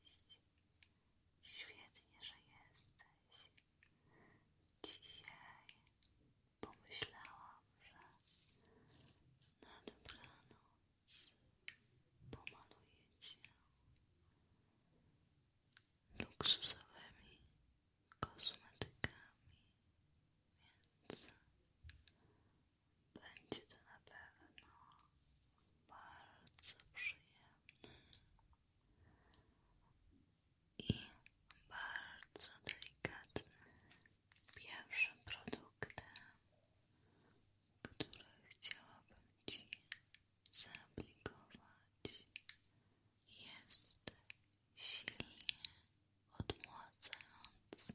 Cześć, świetnie, że jesteś. Dzisiaj pomyślałam, że na dobranoc pomaluję cię luksusowymi kosmetykami, więc będzie to na pewno bardzo przyjemne i bardzo delikatne. Pierwszym produktem, który chciałabym Ci zaaplikować, jest silnie odmładzające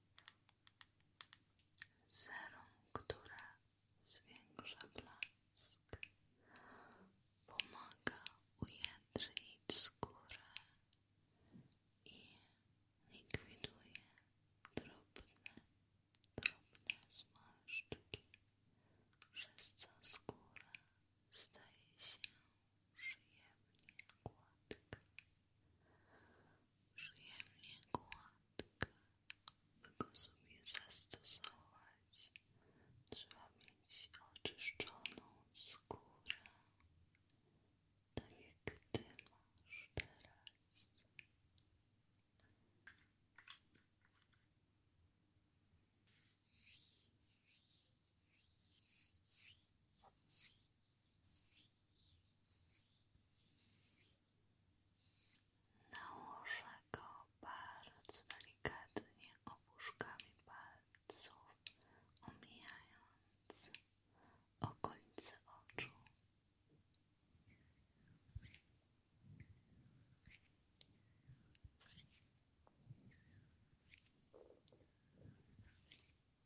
zero, która zwiększa blask, pomaga ujędrzyć skórę i likwiduje drobne, drobne zmarszczki. Przez co skóra staje się przyjemnie gładka przyjemnie gładka, by go sobie zastosować, trzeba mieć oczyszczoną skórę, tak jak Ty masz teraz. Nałożę go bardzo delikatnie opuszkami palców, omijając okolice oczu.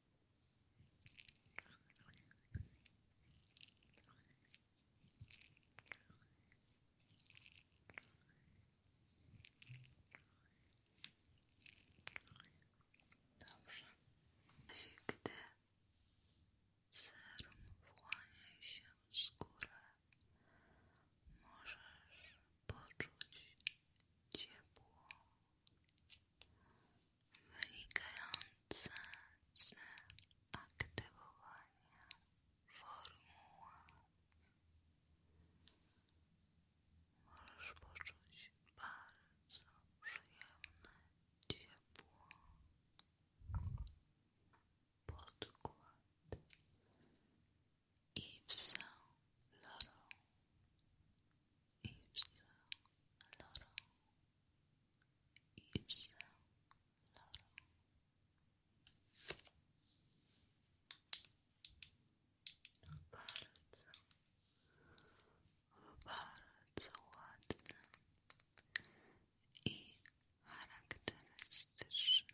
Dobrze. Jeśli gdy serum wchłania się w skórę, możesz poczuć ciepło wynikające z aktywowania formuła. Możesz poczuć bardzo przyjemne ciepło. Podkład i psa Laro i psa Loro Yves Loro bardzo, bardzo ładne i charakterystyczne w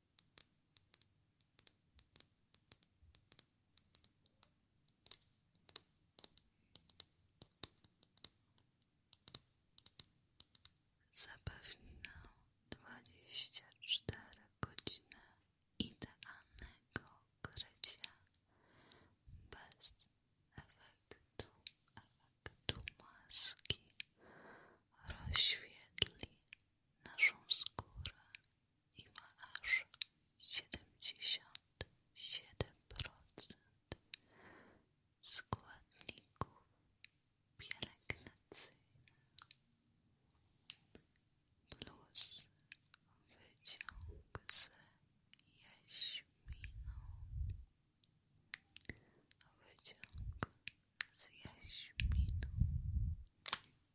Zapewnił dwadzieścia cztery godziny idealnego krycia bez efektu, efektu maski rozświetli naszą skórę i ma aż 77% składników pielęgnacyjnych plus wyciąg z jaśminą wyciąg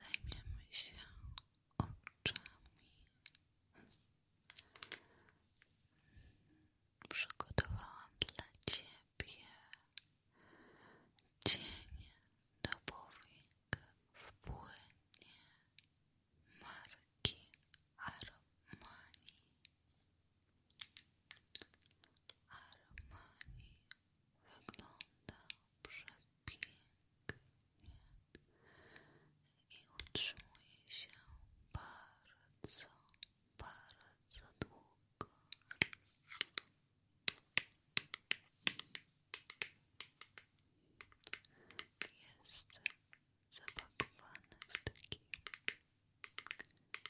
Zajmiemy się oczami. Przygotowałam dla Ciebie cień do powiek w płynie marki Armani. Armani wygląda przepięknie i utrzymuje się bardzo, bardzo długo. Jest zapakowany w taki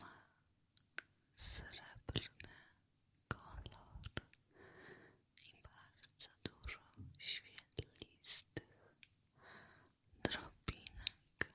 ma srebrny kolor i bardzo dużo świetlistych drobinek.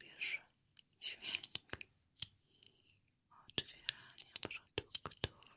Lubisz dźwięk otwierania produktów?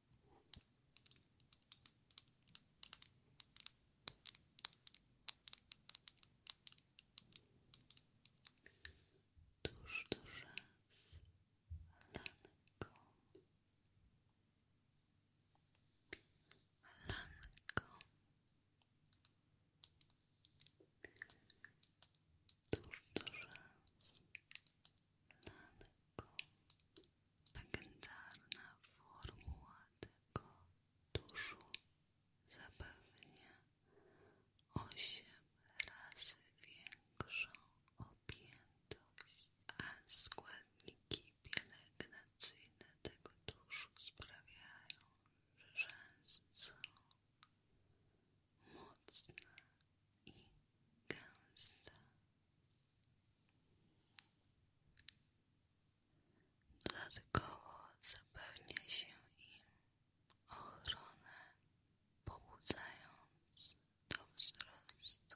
tuż do rzęs lanką lanką tuż do rzęs Nanko. Legendarna formuła tego duszu zapewnia osiem razy większą objętość, a składniki pielęgnacyjne tego duszu sprawiają, że rzęs mocna i gęsta. Dodatkowo zapewnia się im ochronę, pobudzając do wzrostu.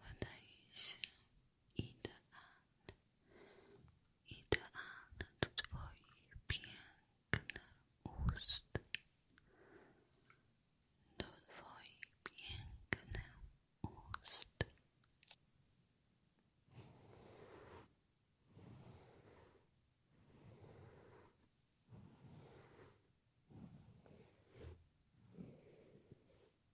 wydaje się idealny, idealny do Twoich pięknych ust, do Twoich pięknych ust.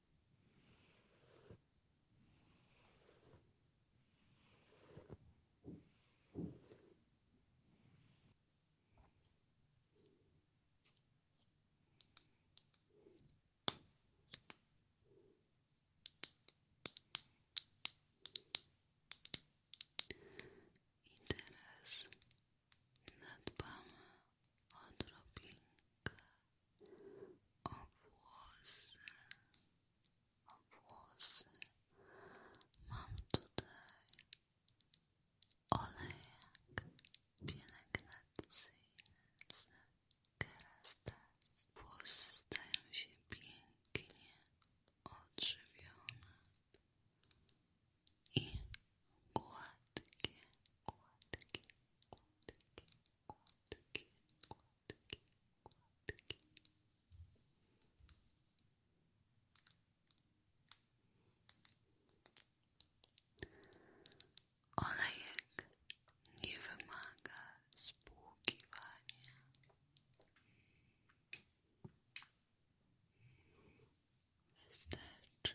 I teraz nadbamy o drobinkę o włosy, o włosy mam tutaj olejek pielęgnacyjny z kerastase. Włosy stają się pięknie odżywione i gładkie, gładkie, gładkie kładki, nie wymaga spłukiwania. Wystarczy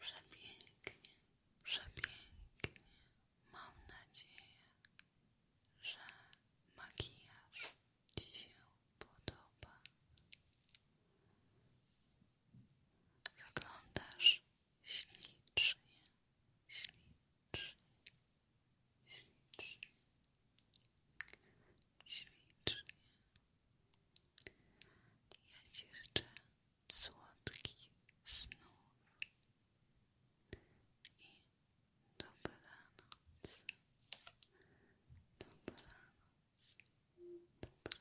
Przepięknie, przepięknie. Mam nadzieję, że makijaż Ci się podoba. Wyglądasz ślicznie, ślicznie, ślicznie, ślicznie. Ja Ci życzę słodkich snów i dobranoc, dobranoc, dobranoc.